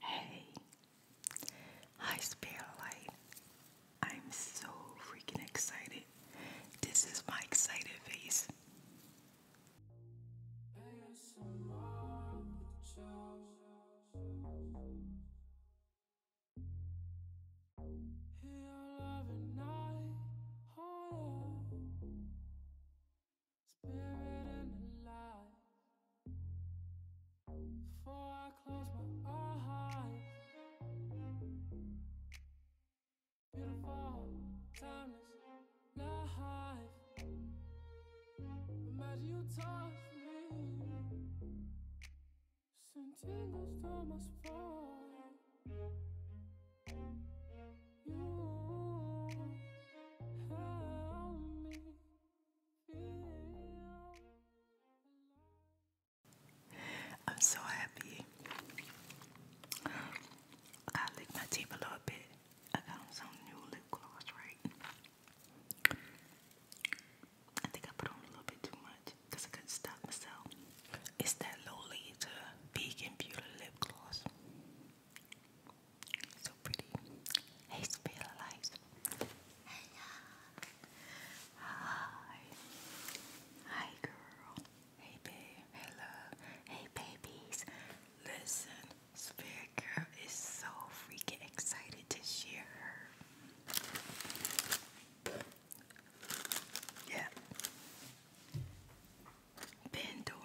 Hey, hi Spiralight. I'm so freaking excited. This is my excited face spirit and alive. Before I close my eyes, beautiful, timeless life. Imagine you touch me, send tingles to You help me. I'm so happy. I lick my teeth a little bit. I got some new lip gloss, right? I think I put on a little bit too much because I couldn't stop myself. It's that Lolita Vegan Beauty Lip Gloss. So pretty. Hey, spill lights. Hi. Hi, girl. Hey, babe. Hey, love. Hey, babies. Listen, Spirit Girl is so freaking excited to share Yeah. Pandora.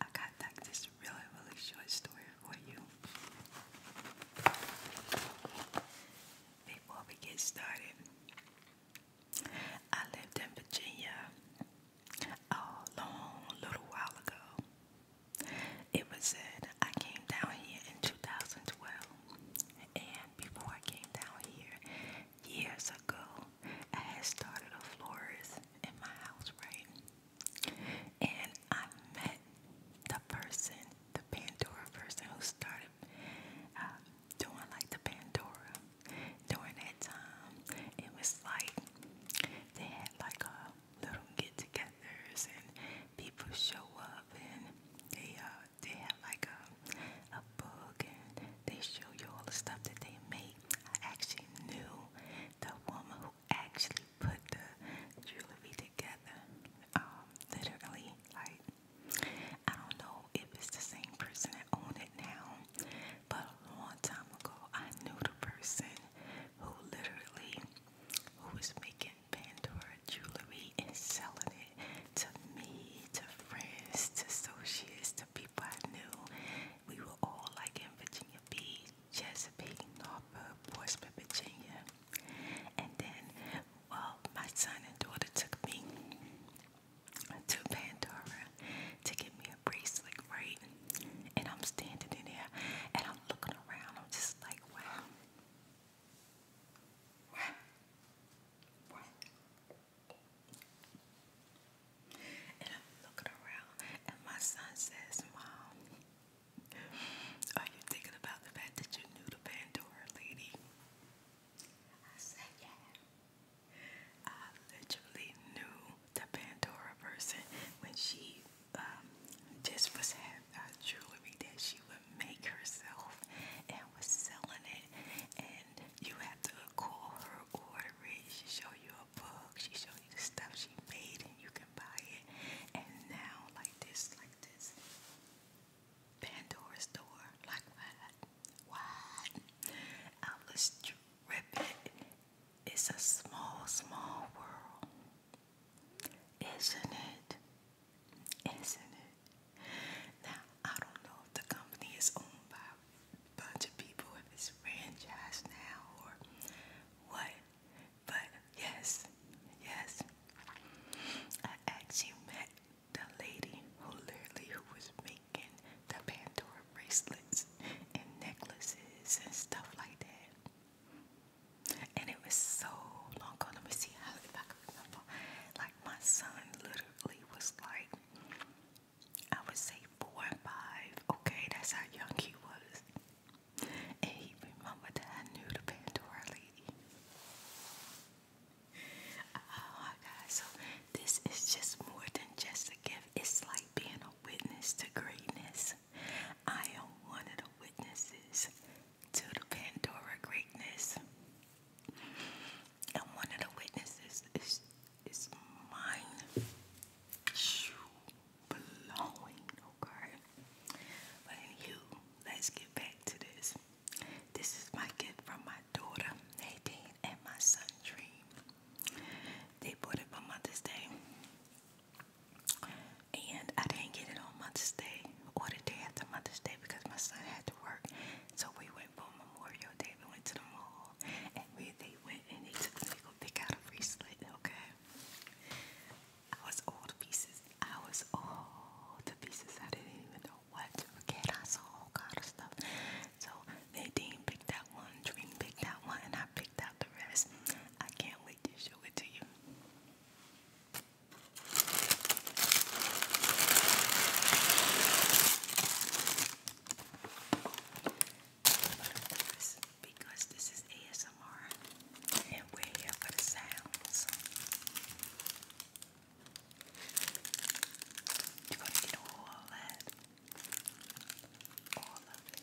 I got like this really, really short story for you. Before we get started, I lived in Virginia a long little while ago. It was said I came down here in 2012, and before I came down here years ago, I had started a florist in my house, right? And I met the person, the Pandora person who started um, doing like the Pandora during that time. It was like they had like a little get togethers and people show up and they uh they have like a a book and they show you all the stuff that they make. I actually knew the woman who actually put the jewelry together. Um, literally, like I don't know if it's the same person that owned it now, but a long time ago I knew the person who literally who was making Pandora jewelry and selling it to me, to friends, to associates, to people I knew. We were all like in Virginia Beach Chesapeake, Norfolk, Portsmouth, Virginia. And then, well, my son and daughter took me to Pandora to get me a bracelet, right? And I'm standing in there and I'm looking around. I'm just like, wow. Wow. Wow. And I'm looking around and my son says, Mom, are you thinking about the fact that you knew the Pandora lady? I said, yeah. I literally knew the Pandora person when she um, just was having uh, jewelry that she would make herself and was selling it. And you had to call her, order it. She show you a book. She show the stuff she made and you can buy it. And now, like this, like this. Pandora's door, like what? What? I was dripping. It's a small, small world. Isn't it? Isn't it? Now, I don't know if the company is owned by a bunch of people, if it's franchised now or what, but yes, yes, I actually met the lady who literally who was making the Pandora bracelets and necklaces and stuff like that. And it was so long ago. Let me see how if I can remember. Like my son literally was like I would say four and five. Okay, that's how young he was. And he remembered the Pandora lady. Oh my God, so this is just more than just a gift. It's like being a witness to greatness. I am one of the witnesses to the Pandora greatness. And one of the witnesses is is mine. Shoo blowing, okay? But anywho, let's get back to this. This is my gift from my daughter, Nadine, and my son, Dream. They bought it for Mother's Day. And I didn't get it on Mother's Day or the day after Mother's Day because my son had to work. So we went for Memorial Day. We went to the mall and we they went and they took me to go pick out a bracelet, okay? I was all to pieces. I was all to pieces. I didn't even know what to get. I saw all kind of stuff. So Nadine picked that one, Dream picked that one, and I picked out the rest. I can't wait to show it to you because this is ASMR and we're here for the sounds, you're to get all that. All of it.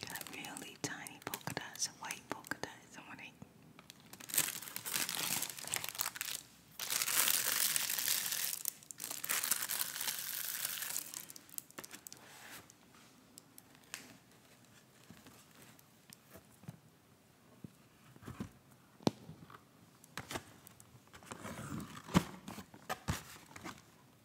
Got really tiny polka dots white polka dots on it.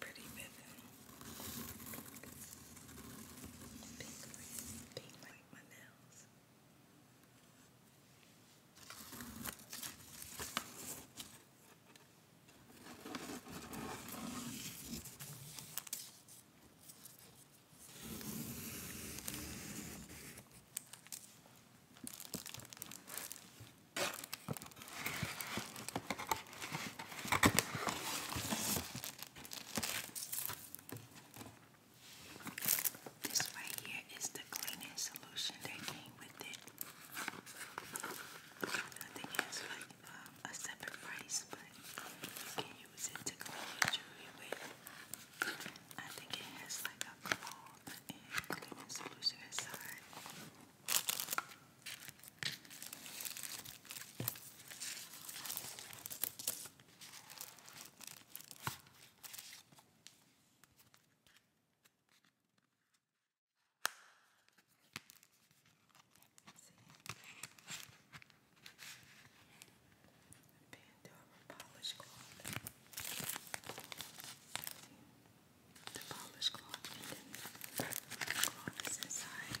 Pretty ribbon. Pink ribbon. Pink like my nails. This right here is the cleaning solution that came with it. I think it's like um, a separate price, but you can use it to clean your jewelry I think it has like a cloth and cleaning solution inside. Pandora polish cloth the polish cloth and the cloth inside.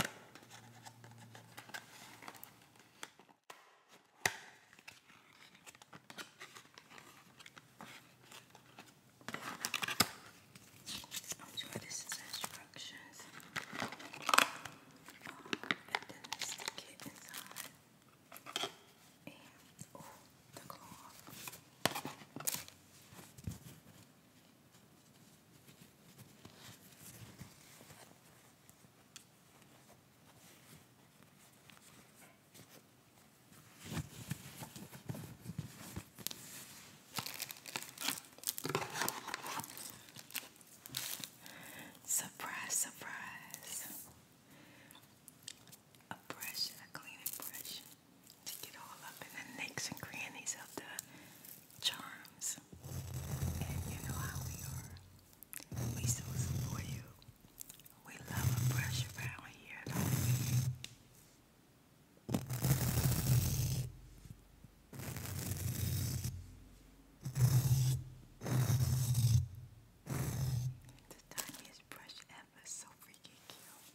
I'm sure this is instructions. Um, and then let's stick it inside. And oh, the cloth. Surprise, surprise. A brush a cleaning brush to get all up in the nicks and crannies of the charms. And you know how we are. We so support you. We love a brush around here, The tiniest brush ever, so freaking cute.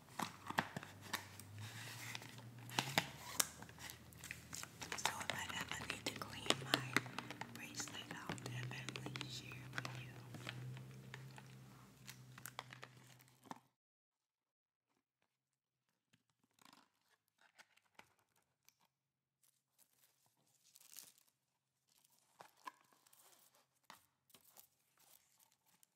So if I need to clean my bracelet, I'll definitely share with you.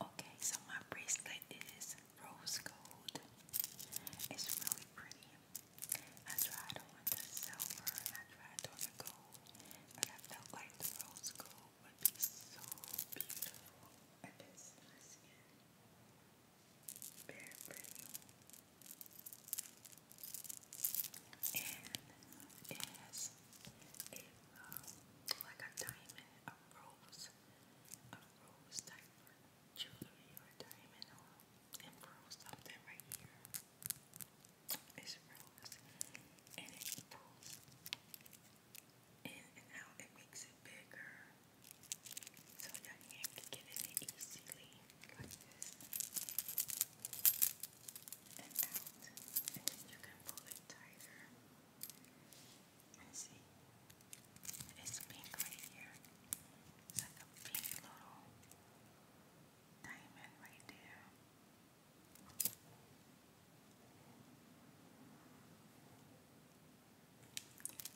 Okay, so my bracelet is rose gold. It's really pretty. I tried on the silver I tried on the gold, but I felt like the rose gold would be so beautiful if it's skin. Very pretty. And it has like a diamond, a rose, a rose type jewelry or diamond emerald something right here. It's rose. And it pulls in and out. It makes it bigger. So your hand can get in it easily. Like this. And out. And then you can pull it tighter. And see? It's pink right here. It's like a pink little diamond right there.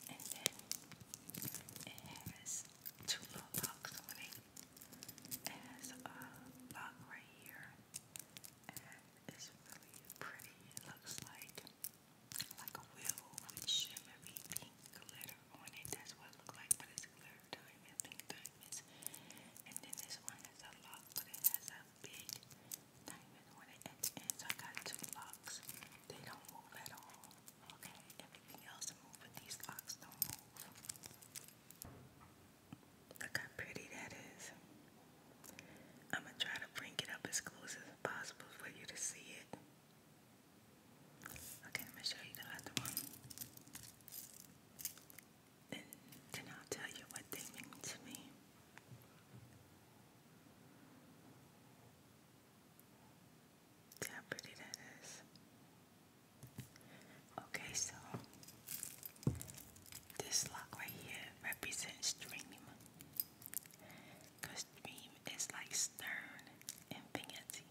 And then it has two little locks on it. It has a lock right here. And it's really pretty. It looks like like a wheel with shimmery pink glitter on it. That's what it looks like, but it's glitter diamonds, diamonds. And then this one has a lock, but it has a big not even when it ends, ends. I got two locks. They don't move at all. Okay, everything else moves, but these locks don't move. Look how pretty that is. I'm gonna try to bring it up as close as possible for you to see it. Okay, I'm show you the other one. Then, then I'll tell you what they mean to me. See how pretty that is. Okay, so this lock right here represents dream. dream is like stern infinity.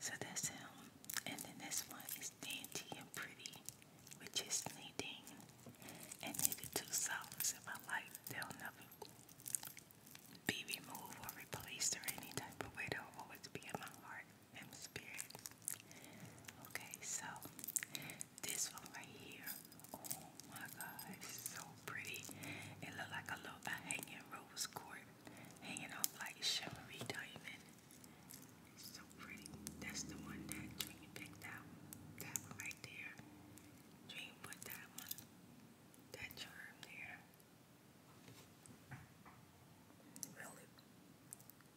So that's him. And then this one is dainty and pretty which is kneading and needed two solids in my life. They'll never be removed or replaced or any type of way. They'll always be in my heart and my spirit. Okay, so this one right here. Oh my god, it's so pretty. It looked like a little a hanging rose cord hanging off like shimmery diamond so pretty. That's the one that Dream picked out. That one right there. Dream put that one. That charm there. Really,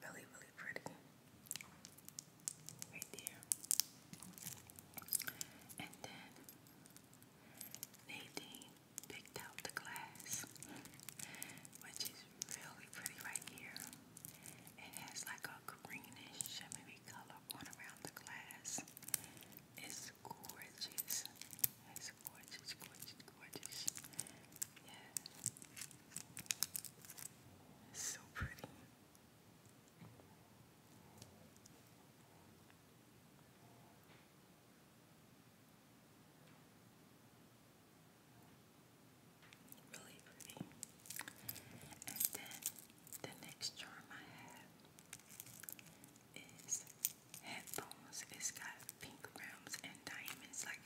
really, really pretty. Right there. And then Nadine picked out the glass, which is really pretty right here. It has like a greenish shimmery color going around the glass. It's gorgeous. It's gorgeous, gorgeous, gorgeous. Yeah. It's so pretty. All really pretty. And then the next charm I have is headphones. It's got pink rims and diamonds. Like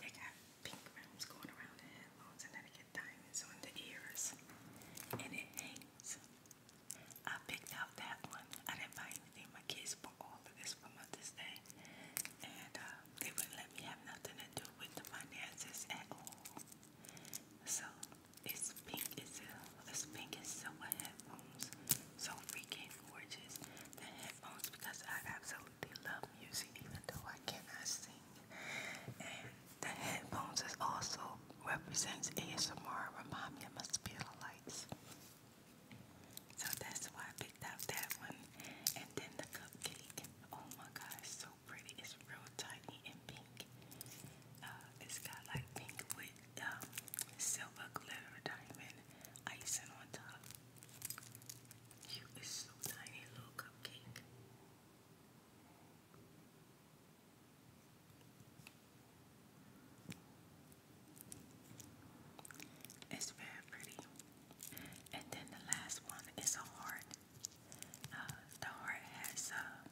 they got pink rims going around the headphones, and then they get diamonds on the ears. And it hangs. I picked out that one. I didn't buy anything. My kids bought all of this for Mother's Day, and uh, they wouldn't let me have nothing to do with the finances at all. So it's pink as it's pink as silver headphones. So freaking gorgeous. The headphones because I absolutely love music even though I cannot sing. And the headphones is also represents ASMR remind me of my spirit lights. So that's why I picked out that one. And then the cupcake. Oh my gosh, so pretty. It's real tiny and pink. Uh, it's got like pink with um, silver glitter diamond icing on top. It's so tiny, little cupcake. It's very pretty. And then the last one is a heart. Uh, the heart has uh,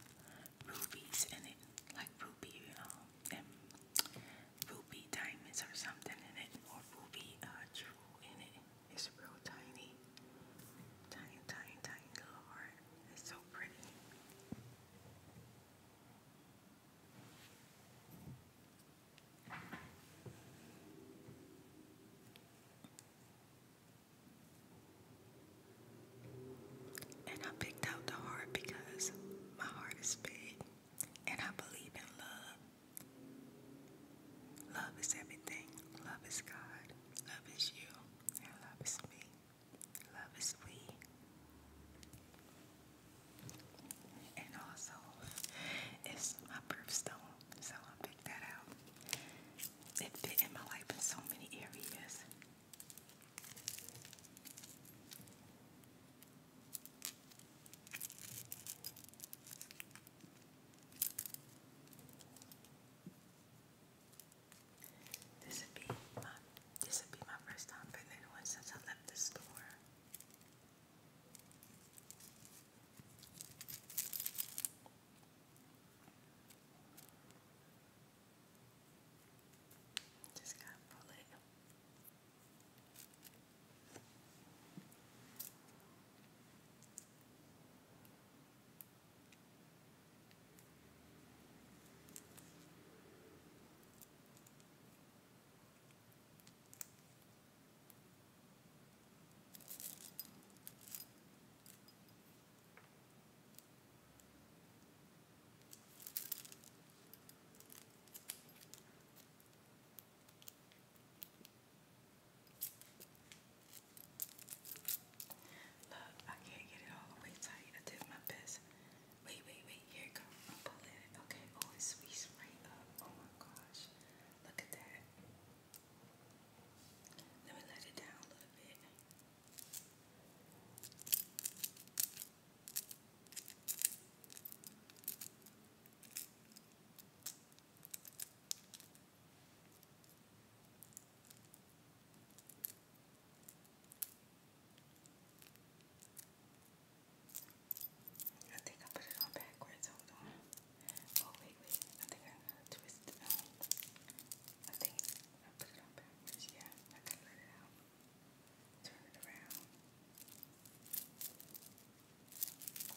rubies in it, like ruby, you ruby diamonds or something in it, or ruby uh, jewel in it. It's real tiny, tiny, tiny, tiny little heart. It's so pretty. And I picked out the heart because my heart is big and I believe in love. Love is everything. Love is God. Love is you. love is me. Love is we. And also, it's my birthstone, so I picked that out it fit in my life in so many areas. This would be my this would be my first time putting it since I left the store. Just gotta pull it. Okay. Look, I can't get it all the way tight. I did my best. Wait, wait, wait. Here it goes. I'm pulling it. Okay. Oh, it squeezed right up. Oh my gosh. Look at that. Let me let it down a little bit. I think I put it on backwards. Hold on. Oh wait, wait. I think I'm gonna twist I think I put it on backwards. Yeah, I can let it out. Turn it around.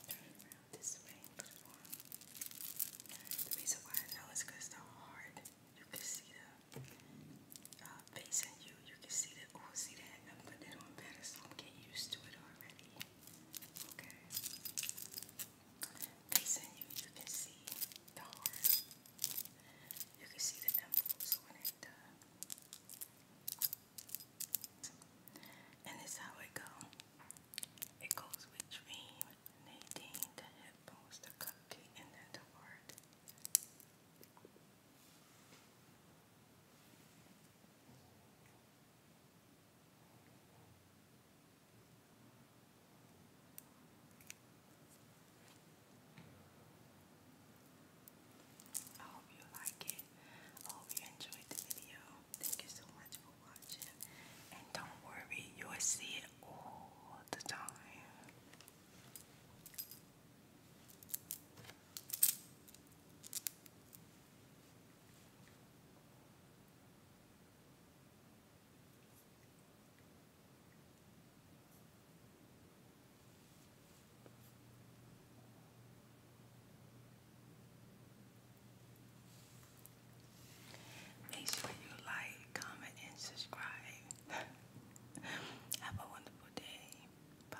Turn it around this way The reason why I know is because the hard. You can see the uh, face in you. You can see the oh, see that. I put that on better, so I'm getting used to it already. Okay facing you, you can see the heart. You can see the dimples uh, And it's how it go. It goes with Dream, Nadine, the hip the cupcake, and then the heart. I hope you like it. I hope you enjoyed the video. Thank you so much for watching. And don't worry, you will see it all the time. Make sure you like, comment, and subscribe. Have a wonderful day. Bye.